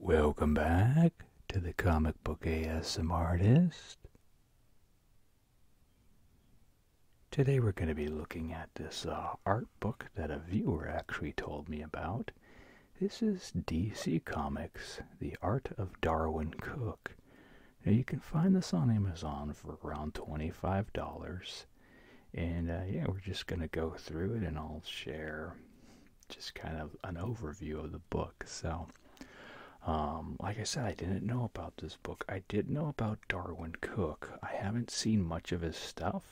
Welcome back to the Comic Book ASM Artist. Today we're going to be looking at this uh, art book that a viewer actually told me about. This is DC Comics, The Art of Darwin Cook. Now you can find this on Amazon for around $25. And uh, yeah, we're just going to go through it and I'll share just kind of an overview of the book. So, um, like I said, I didn't know about this book. I did know about Darwin Cook. I haven't seen much of his stuff.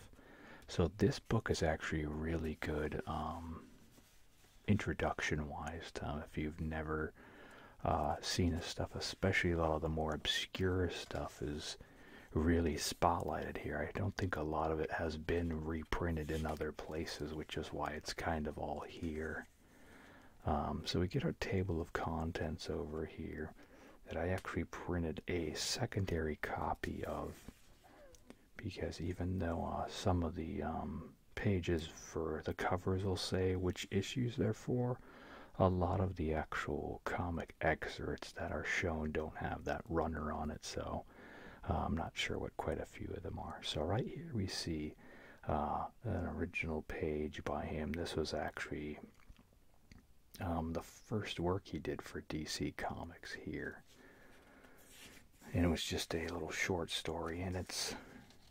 So this book is actually really good um, introduction-wise. If you've never uh, seen his stuff, especially a lot of the more obscure stuff, is really spotlighted here. I don't think a lot of it has been reprinted in other places, which is why it's kind of all here. Um, so we get our table of contents over here that I actually printed a secondary copy of because even though uh, some of the um, pages for the covers will say which issues they're for, a lot of the actual comic excerpts that are shown don't have that runner on it, so uh, I'm not sure what quite a few of them are. So right here we see uh, an original page by him. This was actually um, the first work he did for DC Comics here. And it was just a little short story, and it's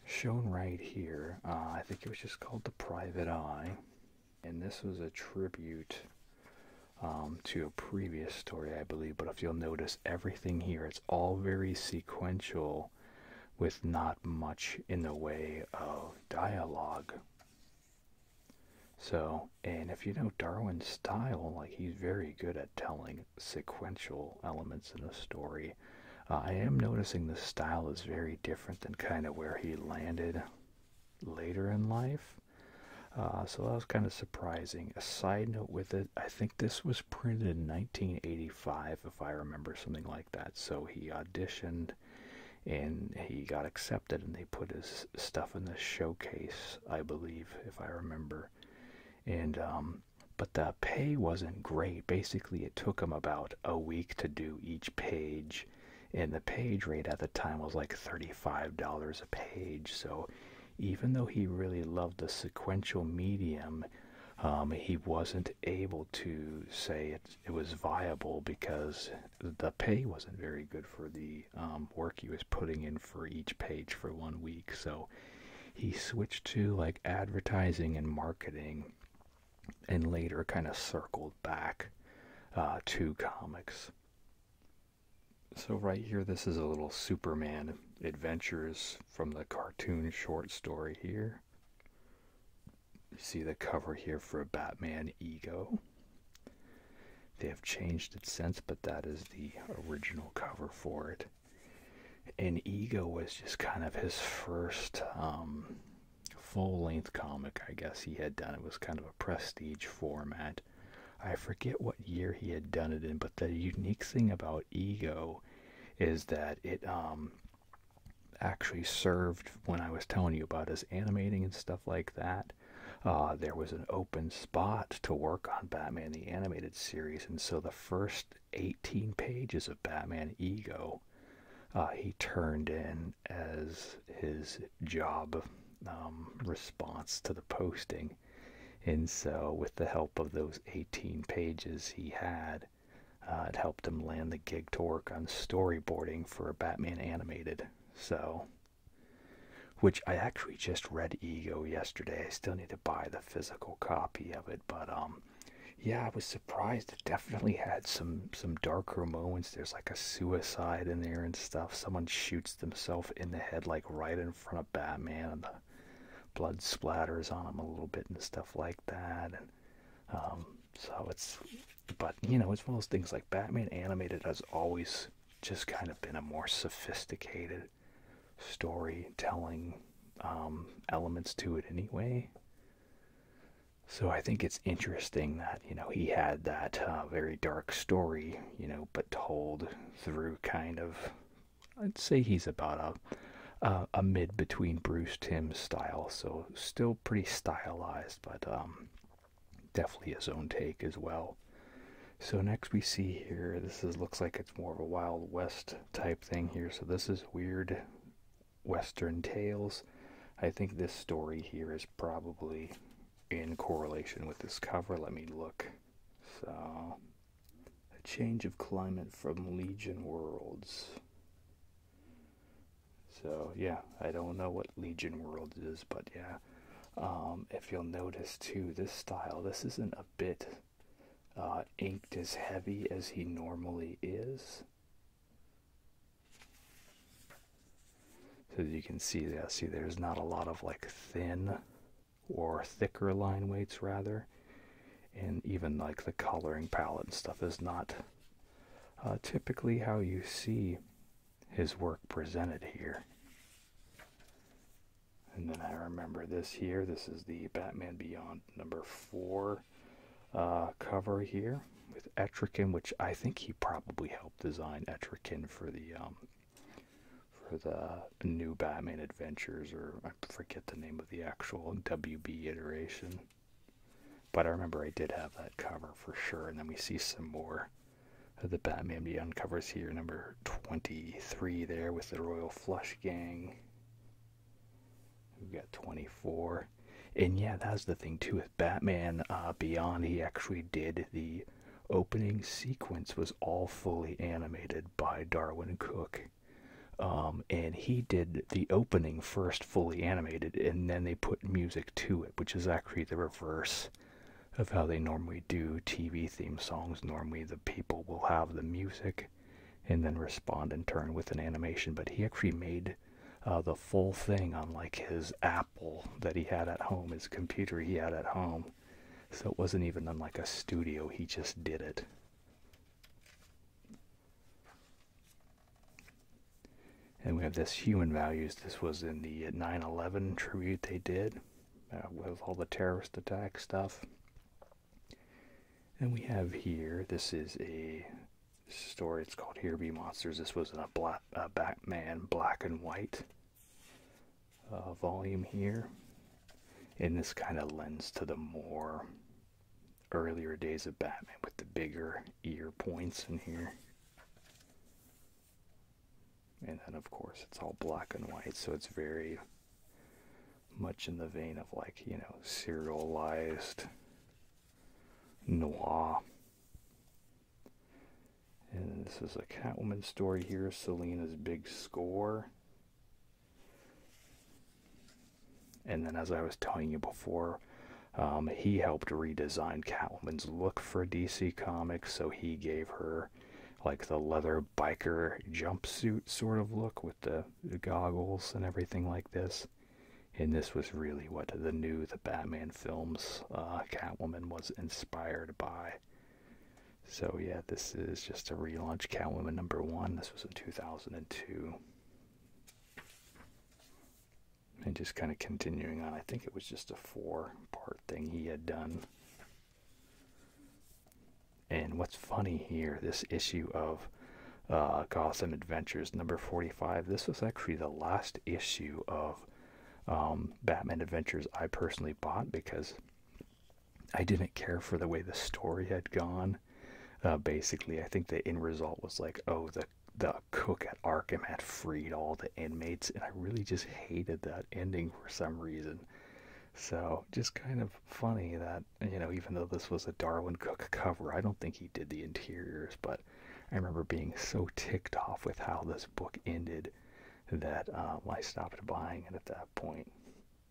shown right here. Uh, I think it was just called The Private Eye. And this was a tribute um, to a previous story, I believe. But if you'll notice, everything here, it's all very sequential with not much in the way of dialogue. So, and if you know Darwin's style, like he's very good at telling sequential elements in a story. Uh, I am noticing the style is very different than kind of where he landed later in life. Uh, so that was kind of surprising. A side note with it, I think this was printed in 1985, if I remember something like that. So he auditioned and he got accepted, and they put his stuff in the showcase, I believe, if I remember. And, um, but the pay wasn't great. Basically, it took him about a week to do each page, and the page rate at the time was like $35 a page. So even though he really loved the sequential medium, um, he wasn't able to say it, was viable because the pay wasn't very good for the um, work he was putting in for each page for one week. So he switched to like advertising and marketing and later kind of circled back uh, to comics. So right here, this is a little Superman adventures from the cartoon short story here. You see the cover here for a Batman Ego. They have changed it since, but that is the original cover for it. And Ego was just kind of his first um, full length comic, I guess, he had done. It was kind of a prestige format. I forget what year he had done it in, but the unique thing about Ego is that it um actually served when I was telling you about his animating and stuff like that. Uh, there was an open spot to work on Batman the Animated Series, and so the first 18 pages of Batman Ego uh, he turned in as his job um, response to the posting. And so, with the help of those 18 pages he had, uh, it helped him land the gig to work on storyboarding for Batman Animated. So, which I actually just read Ego yesterday. I still need to buy the physical copy of it, but um, yeah, I was surprised. It definitely had some some darker moments. There's like a suicide in there and stuff. Someone shoots himself in the head like right in front of Batman and the blood splatters on him a little bit and stuff like that and um, so it's but you know as one as things like Batman animated has always just kind of been a more sophisticated storytelling um, elements to it anyway so I think it's interesting that you know he had that uh, very dark story, you know, but told through kind of. I'd say he's about a a mid between Bruce Timm style, so still pretty stylized, but um, definitely his own take as well. So next we see here, this looks like it's more of a Wild West type thing here. So this is weird Western tales. I think this story here is probably in correlation with this cover. Let me look. So, a change of climate from Legion Worlds. So, yeah, I don't know what Legion world is, but yeah. Um, if you'll notice too, this style, this isn't a bit uh, inked as heavy as he normally is. So you can see that, see there's not a lot of like thin or thicker line weights rather and even like the coloring palette and stuff is not uh, typically how you see his work presented here and then i remember this here this is the batman beyond number four uh, cover here with Etrican, which I think he probably helped design Etrican for the um, for the new Batman Adventures, or I forget the name of the actual WB iteration. But I remember I did have that cover for sure, and then we see some more of the Batman Beyond covers here, number 23 there with the Royal Flush Gang. We've got 24. And yeah, that's the thing too with Batman uh, Beyond. He actually did the opening sequence was all fully animated by Darwin Cook. Um, and he did the opening first fully animated, and then they put music to it, which is actually the reverse of how they normally do TV theme songs. Normally, the people will have the music and then respond in turn with an animation, but he actually made uh, the full thing on like his app that he had at home, his computer he had at home. So it wasn't even in like a studio, he just did it. And we have this human values. This was in the nine eleven tribute they did uh, with all the terrorist attack stuff. And we have here, this is a story. It's called Here Be Monsters. This was a, black, a uh, Batman black and white. Uh, volume here, and this kind of lends to the more earlier days of Batman with the bigger ear points in here. And then, of course, it's all black and white, so it's very much in the vein of like, you know, serialized noir. And this is a Catwoman story here, Selena's big score. And then, as I was telling you before, um, he helped redesign Catwoman's look for DC Comics, so he gave her like the leather biker jumpsuit sort of look with the, goggles and everything like this. And this was really what the new The Batman films uh, Catwoman was inspired by. So yeah, this is just a relaunch Catwoman number one. This was in 2002. And just kind of continuing on, I think it was just a four part thing he had done. And what's funny here, this issue of uh, Gotham Adventures number 45, this was actually the last issue of um, Batman Adventures I personally bought because I didn't care for the way the story had gone. Uh, basically, I think the end result was like, oh, the the cook at Arkham had freed all the inmates, and I really just hated that ending for some reason. So just kind of funny that you know, even though this was a Darwin Cook cover, I don't think he did the interiors, but I remember being so ticked off with how this book ended that um, I stopped buying it at that point.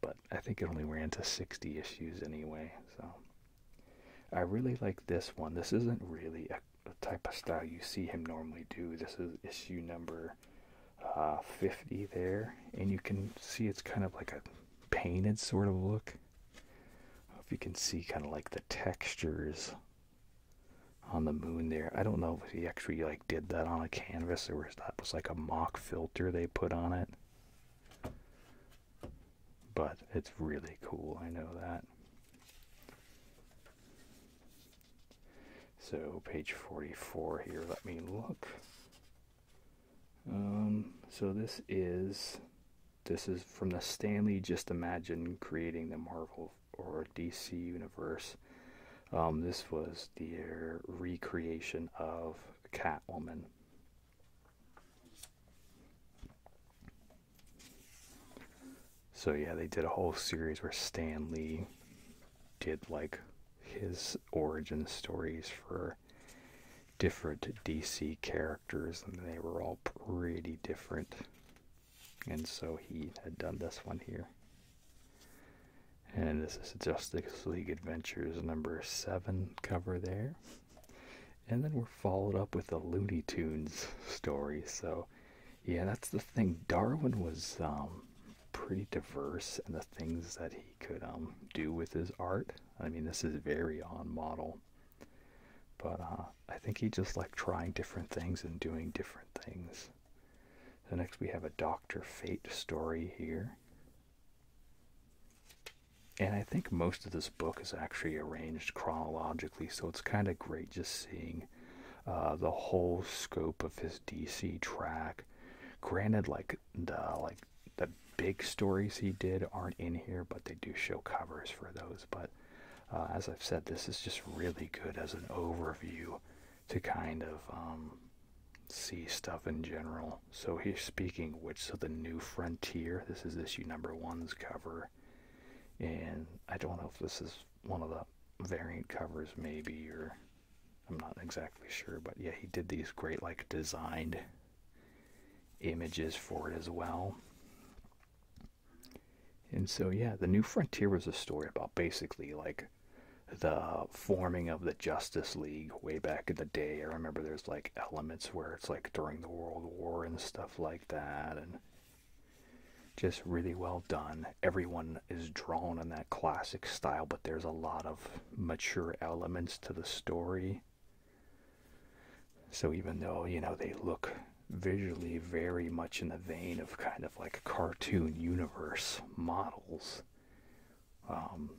But I think it only ran to 60 issues anyway. So I really like this one. This isn't really a, type of style you see him normally do. This is issue number uh, 50 there. And you can see it's kind of like a painted sort of look. If you can see kind of like the textures on the moon there. I don't know if he actually like did that on a canvas or if that was like a mock filter they put on it. But it's really cool, I know that. So page 44 here, let me look. Um, so this is this is from the Stanley Just Imagine Creating the Marvel or DC Universe. Um, this was their recreation of Catwoman. So yeah, they did a whole series where Stan Lee did like his origin stories for different DC characters, and they were all pretty different and so he had done this one here. And this is Justice League Adventures number 7 cover there. And then we're followed up with the Looney Tunes story. So, yeah, that's the thing. Darwin was um, pretty diverse in the things that he could um, do with his art. I mean, this is very on model. But uh, I think he just liked trying different things and doing different things. So next we have a Doctor Fate story here. And I think most of this book is actually arranged chronologically, so it's kind of great just seeing uh, the whole scope of his DC track. Granted, like the like the big stories he did aren't in here, but they do show covers for those. But uh, as I've said, this is just really good as an overview to kind of um, see stuff in general. So he's speaking which so the new frontier. This is issue number one's cover, and I don't know if this is one of the variant covers, maybe or I'm not exactly sure. But yeah, he did these great like designed images for it as well. And so, yeah, The New Frontier was a story about basically like the forming of the Justice League way back in the day. I remember there's like elements where it's like during the World War and stuff like that. And just really well done. Everyone is drawn in that classic style, but there's a lot of mature elements to the story. So even though, you know, they look visually very much in the vein of kind of like cartoon universe models. Um,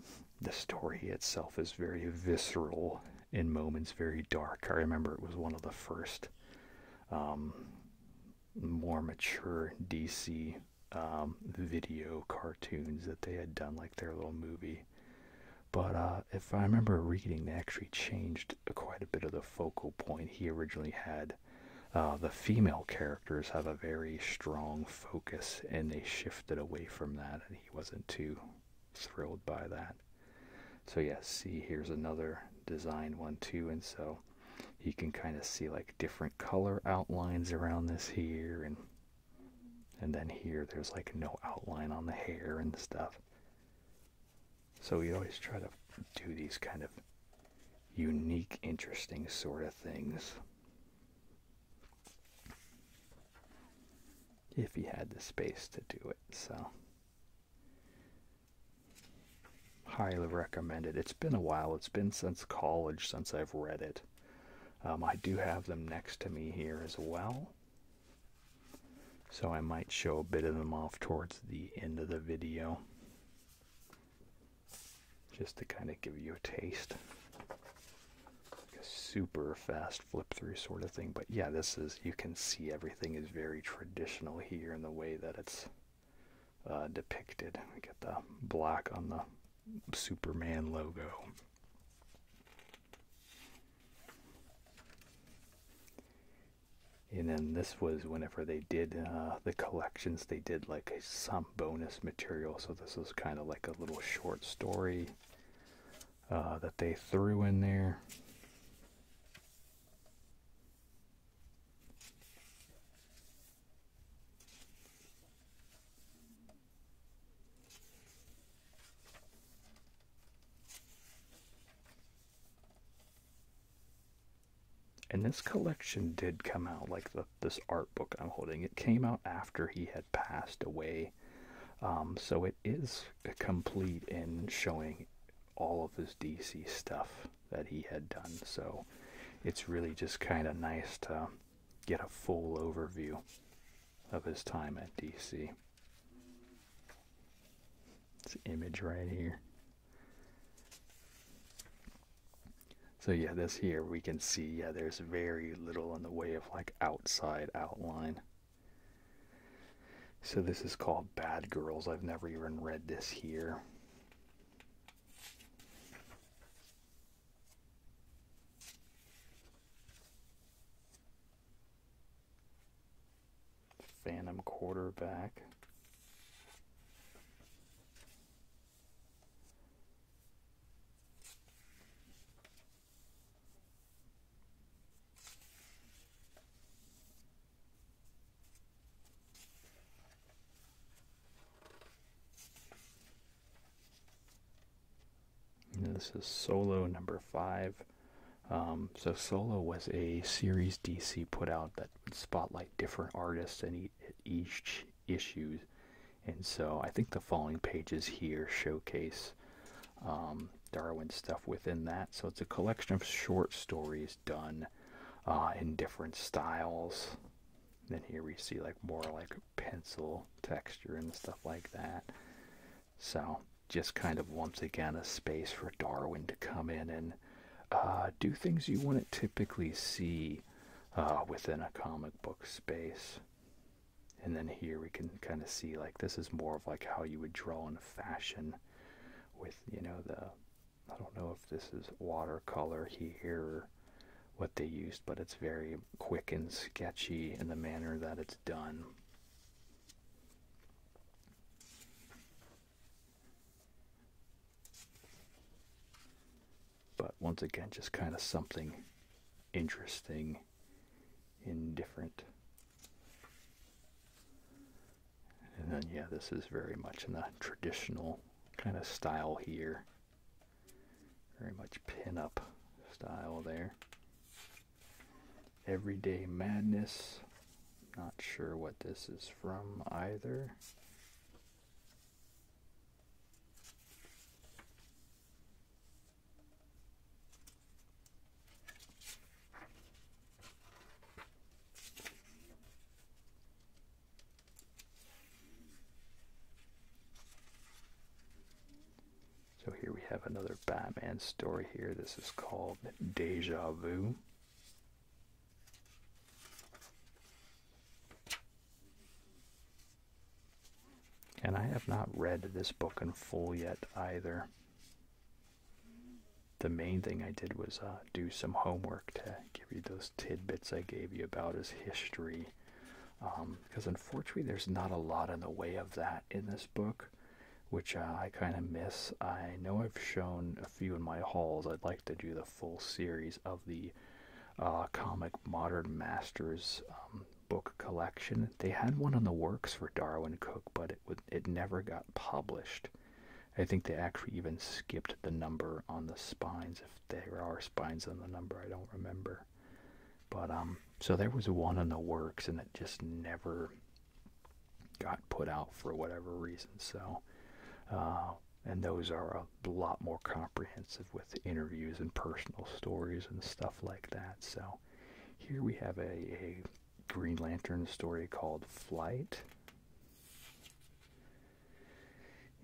the story itself is very visceral in moments, very dark. I remember it was one of the first um, more mature DC um, video cartoons that they had done, like their little movie. But uh, if I remember reading, they actually changed quite a bit of the focal point. He originally had uh, the female characters have a very strong focus, and they shifted away from that, and he wasn't too thrilled by that. So yeah, see, here's another design one too, and so you can kind of see like different color outlines around this here, and and then here there's like no outline on the hair and stuff. So we always try to do these kind of unique, interesting sort of things. If he had the space to do it, so highly recommended. it. has been a while. It's been since college since I've read it. Um, I do have them next to me here as well. So I might show a bit of them off towards the end of the video just to kind of give you a taste. Like a super fast flip through sort of thing. But yeah, this is, you can see everything is very traditional here in the way that it's uh, depicted. We get the black on the Superman logo and then this was whenever they did uh, the collections they did like some bonus material so this was kind of like a little short story uh, that they threw in there and this collection did come out like this art book i'm holding it came out after he had passed away um, so it is complete in showing all of his dc stuff that he had done so it's really just kind of nice to get a full overview of his time at dc it's image right here so yeah, this here we can see, yeah, there's very little in the way of like outside outline. So this is called Bad Girls. I've never even read this here. Phantom quarterback. this is solo number five. Um, so solo was a series DC put out that spotlight different artists in each issue, And so I think the following pages here showcase um, Darwin stuff within that. So it's a collection of short stories done uh, in different styles. And then here we see like more like pencil texture and stuff like that. So just kind of once again a space for Darwin to come in and uh, do things you wouldn't typically see uh, within a comic book space. And then here we can kind of see like this is more of like how you would draw in fashion with, you know, the, I don't know if this is watercolor here what they used, but it's very quick and sketchy in the manner that it's done. But once again, just kind of something interesting indifferent, And then, yeah, this is very much in the traditional kind of style here. Very much pin-up style there. Everyday Madness not sure what this is from either. So here we have another Batman story here. This is called Deja Vu. And I have not read this book in full yet either. The main thing I did was uh, do some homework to give you those tidbits I gave you about his history. Because um, unfortunately, there's not a lot in the way of that in this book, which uh, I kind of miss. I know I've shown a few in my hauls. I'd like to do the full series of the uh, comic Modern Masters um, book collection. They had one on the works for Darwin Cook, but it it never got published. I think they actually even skipped the number on the spines, if there are spines on the number. I don't remember, but um, so there was one on the works, and it just never got put out for whatever reason. So, uh, and those are a lot more comprehensive with interviews and personal stories and stuff like that. So, here we have a Green Lantern story called Flight.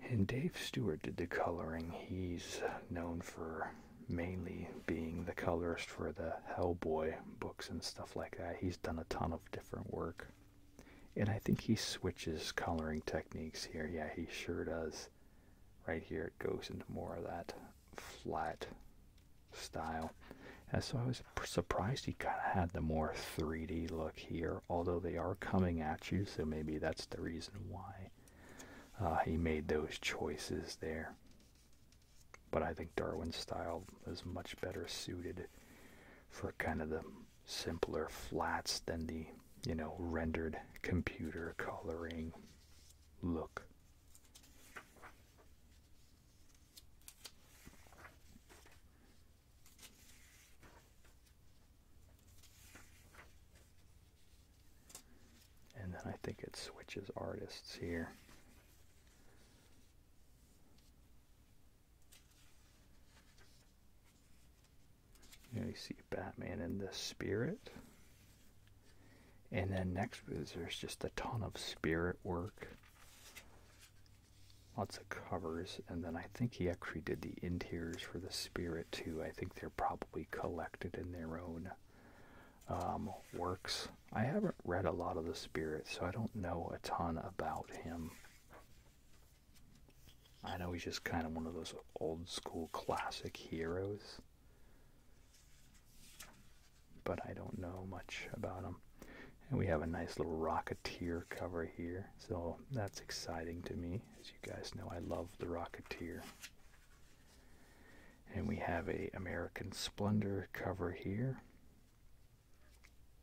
And Dave Stewart did the coloring. He's known for mainly being the colorist for the Hellboy books and stuff like that. He's done a ton of different work. And I think he switches coloring techniques here. Yeah, he sure does. Right here it goes into more of that flat style. And so I was surprised he kind of had the more 3D look here, although they are coming at you, so maybe that's the reason why uh, he made those choices there. But I think Darwin's style is much better suited for kind of the simpler flats than the you know rendered computer coloring look and then I think it switches artists here you, know, see Batman in the spirit. And then next there's just a ton of spirit work. Lots of covers. And then I think he actually did the interiors for the spirit too. I think they're probably collected in their own um, works. I haven't read a lot of the spirit, so I don't know a ton about him. I know he's just kind of one of those old school classic heroes, but I don't know much about him. And we have a nice little Rocketeer cover here, so that's exciting to me. As you guys know, I love the Rocketeer. And we have a American Splendor cover here.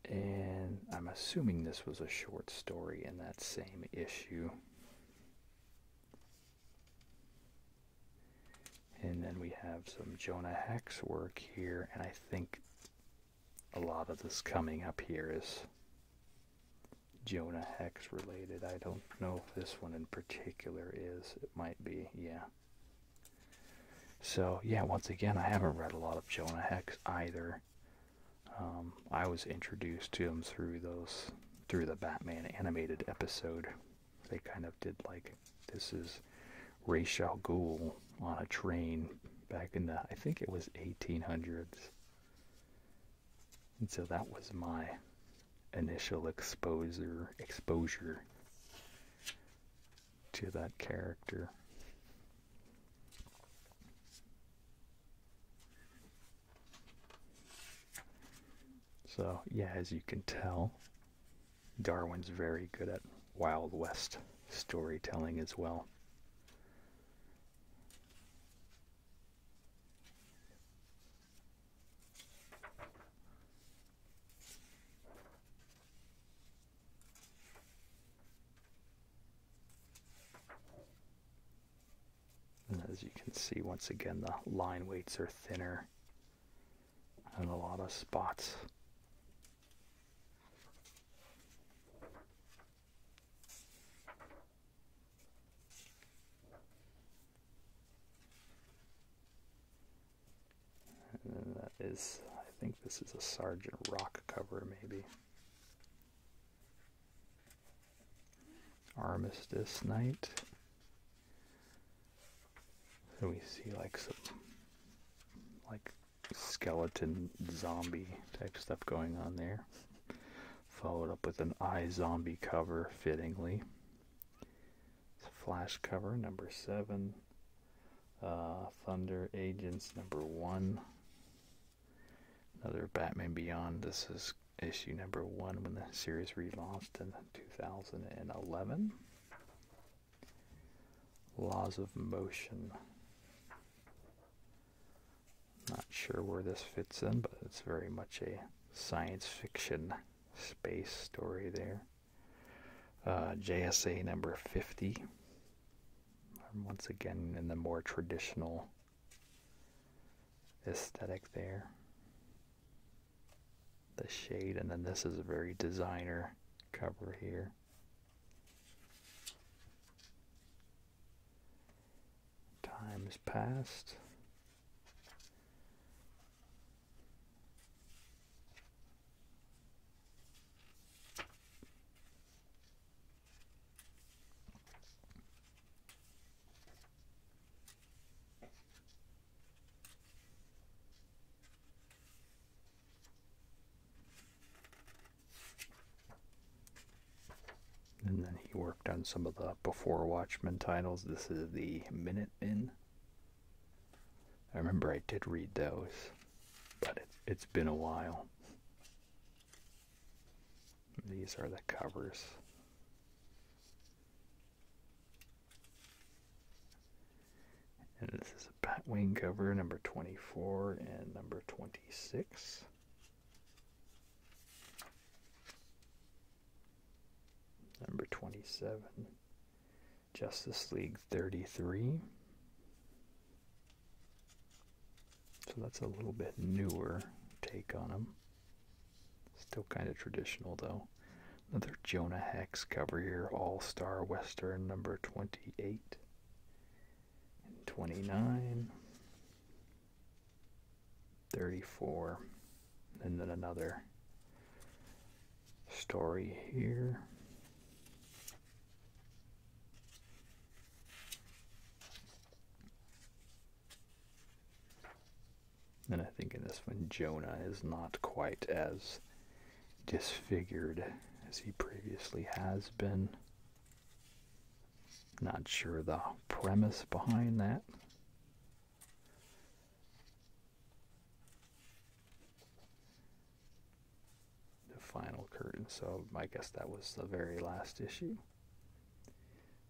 And I'm assuming this was a short story in that same issue. And then we have some Jonah Hex work here, and I think a lot of this coming up here is Jonah Hex related. I don't know if this one in particular is. It might be, yeah. So, yeah, once again, I haven't read a lot of Jonah Hex either. Um, I was introduced to him through those, through the Batman animated episode. They kind of did like, this is Ra's Ghoul on a train back in the, I think it was 1800s. And so that was my initial exposure exposure to that character. So, yeah, as you can tell, Darwin's very good at Wild West storytelling as well. And as you can see, once again, the line weights are thinner in a lot of spots. And then that is, I think this is a Sergeant Rock cover, maybe. Armistice Night. So we see like some, like skeleton zombie type stuff going on there. Followed up with an eye zombie cover, fittingly. Flash cover number seven. Uh, Thunder Agents number one. Another Batman Beyond. This is issue number one when the series relaunched in 2011. Laws of Motion. Not sure where this fits in, but it's very much a science fiction space story there. Uh, JSA number 50 once again in the more traditional aesthetic there. The shade, and then this is a very designer cover here. Times past. And then he worked on some of the before Watchmen titles. This is the Minute Minutemen. I remember I did read those, but it's, it's been a while. These are the covers. And this is a bat wing cover, number 24 and number 26. Number 27 Justice League 33. So that's a little bit newer take on them. Still kind of traditional though. Another Jonah Hex cover here, All Star Western number 28 and 29, 34, and then another story here. And I think in this one, Jonah is not quite as disfigured as he previously has been. Not sure the premise behind that the final curtain. So I guess that was the very last issue.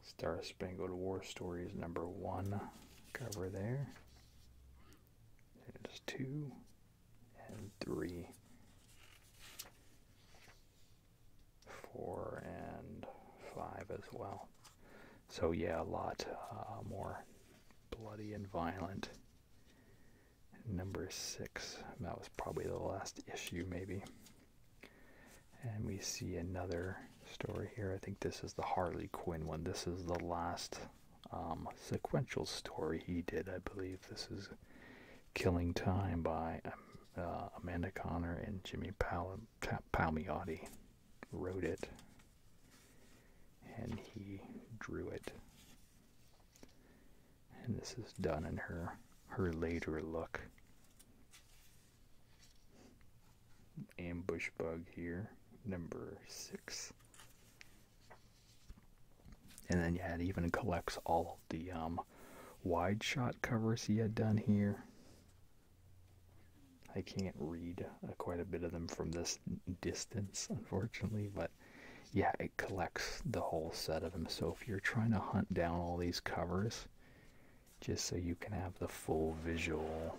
Star Spangled War Stories number one cover there. There's two and three. Four and five as well. So yeah, a lot uh, more bloody and violent number six. That was probably the last issue, maybe. And we see another story here. I think this is the Harley Quinn one. This is the last um, sequential story he did, I believe. This is Killing Time by um, uh, Amanda Connor and Jimmy Pal- Palmiotti wrote it. And he drew it. And this is done in her her later look. Ambush bug here, number six. And then yeah, it even collects all of the um, wide shot covers he had done here. I can't read uh, quite a bit of them from this distance, unfortunately. But yeah, it collects the whole set of them. So if you're trying to hunt down all these covers, just so you can have the full visual.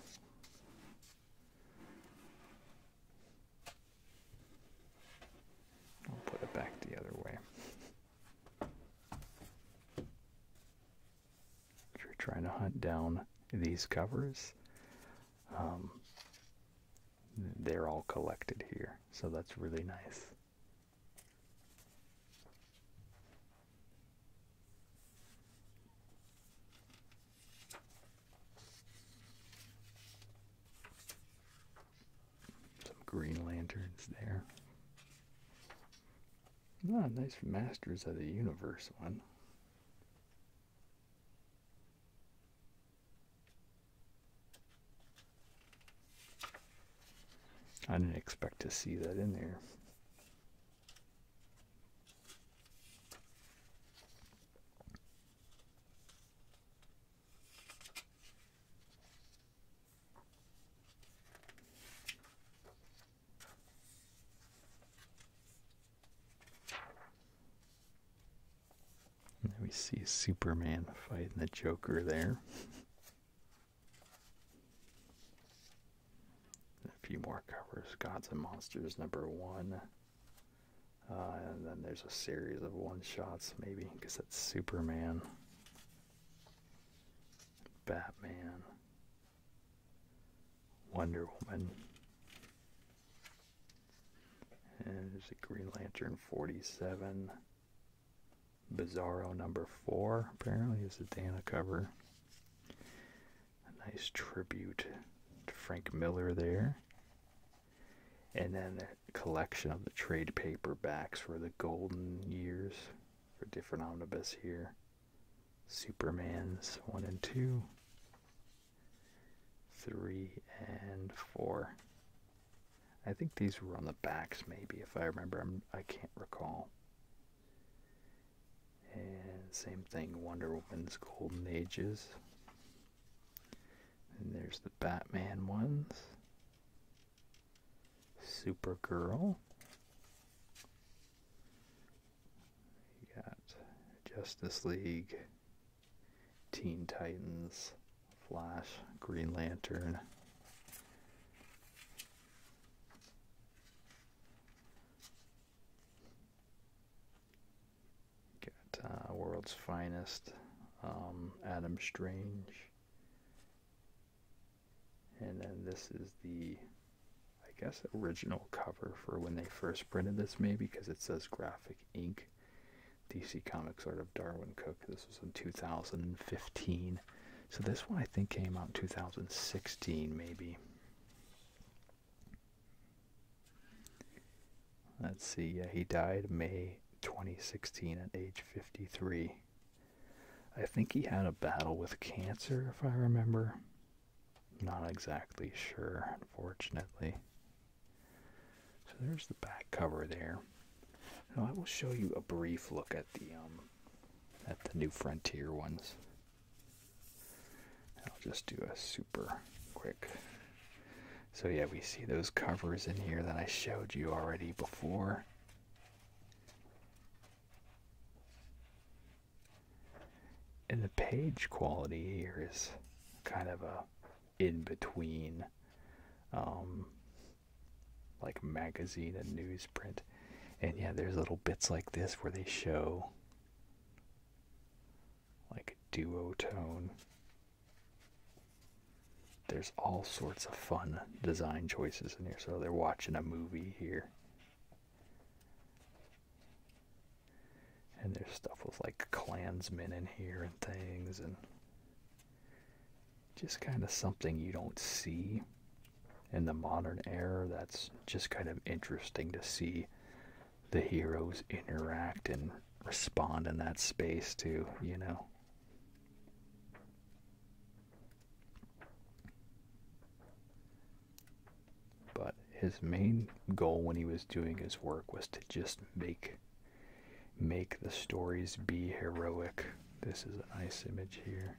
I'll put it back the other way. If you're trying to hunt down these covers, um, they're all collected here. So that's really nice. Some green lanterns there. Ah, nice Masters of the Universe one. I didn't expect to see that in there. And then we see Superman fighting the Joker there. a few more covers. Gods and Monsters number one. Uh, and then there's a series of one-shots maybe because that's Superman. Batman. Wonder Woman. And there's a Green Lantern 47. Bizarro number 4, apparently, is a Dana cover. A nice tribute to Frank Miller there. And then a collection of the trade paperbacks for the golden years for different omnibus here. Superman's 1 and 2 three, and four. I think these were on the backs, maybe, if I remember. I'm, I can not recall. And same thing, Wonder Woman's Golden Ages. And there's the Batman ones. Supergirl. You got Justice League, Teen Titans, Flash, Green Lantern. Got uh, World's Finest, um, Adam Strange. And then this is the, I guess, original cover for when they first printed this, maybe, because it says Graphic Ink. DC Comics Art of Darwin Cook. This was in 2015. So this one I think came out in 2016 maybe. Let's see, yeah, he died May 2016 at age 53. I think he had a battle with cancer, if I remember. Not exactly sure, unfortunately. So there's the back cover there. Now I will show you a brief look at the um, at the New Frontier ones. I'll just do a super quick. So yeah, we see those covers in here that I showed you already before. And the page quality here is kind of a in between um, like magazine and newsprint and yeah there's little bits like this where they show like duotone there's all sorts of fun design choices in here so they're watching a movie here and there's stuff with like clansmen in here and things, and just kind of something you don't see in the modern era that's just kind of interesting to see the heroes interact and respond in that space too, you know. But his main goal when he was doing his work was to just make make the stories be heroic. This is a nice image here.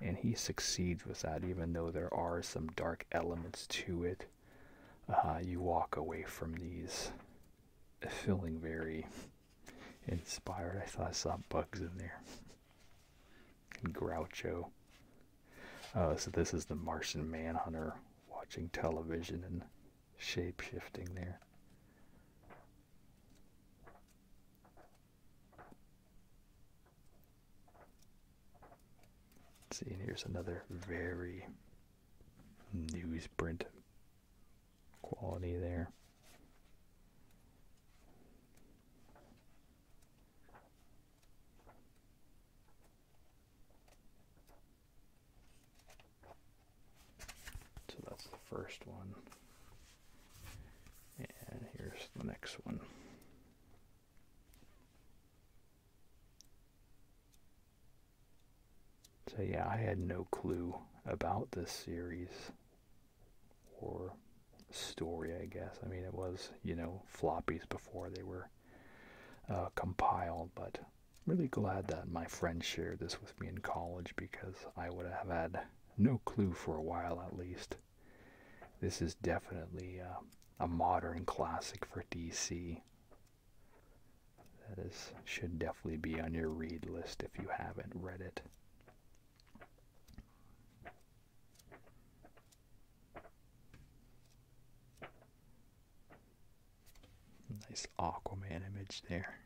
And he succeeds with that, even though there are some dark elements to it. Uh, you walk away from these feeling very inspired. I thought I saw bugs in there. Groucho. Uh, so this is the Martian Manhunter watching television and shape shifting there. see, and here's another very newsprint quality there. So that's the first one. And here's the next one. So yeah, I had no clue about this series or story, I guess. I mean, it was, you know, floppies before they were uh, compiled, but really glad that my friend shared this with me in college because I would have had no clue for a while at least. This is definitely uh, a modern classic for DC. That is should definitely be on your read list if you haven't read it. Nice Aquaman image there.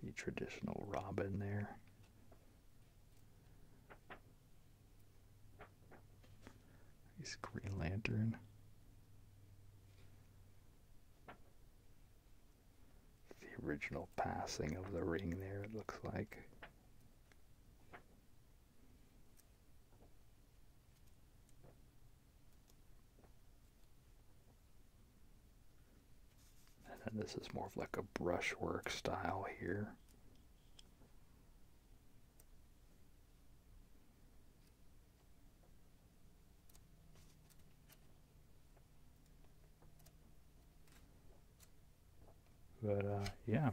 See traditional Robin there. Nice Green Lantern the original passing of the ring there, it looks like. And then this is more of like a brushwork style here. But uh, yeah,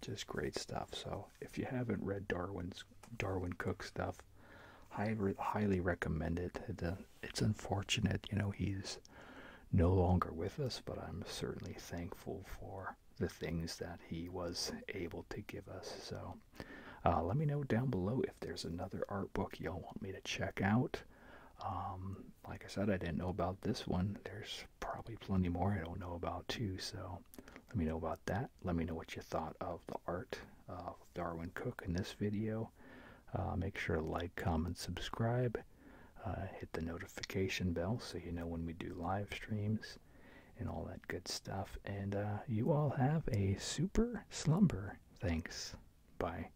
just great stuff. So if you haven't read Darwin's Darwin Cook stuff, I highly recommend it. Uh, it's unfortunate, you know, he's no longer with us, but I'm certainly thankful for the things that he was able to give us. So uh, let me know down below if there's another art book y'all want me to check out. Um, like I said, I didn't know about this one. There's probably plenty more I don't know about too. So let me know about that. Let me know what you thought of the art of Darwin Cook in this video. Uh, make sure to like, comment, subscribe. Uh, hit the notification bell so you know when we do live streams and all that good stuff. And uh, you all have a super slumber. Thanks. Bye.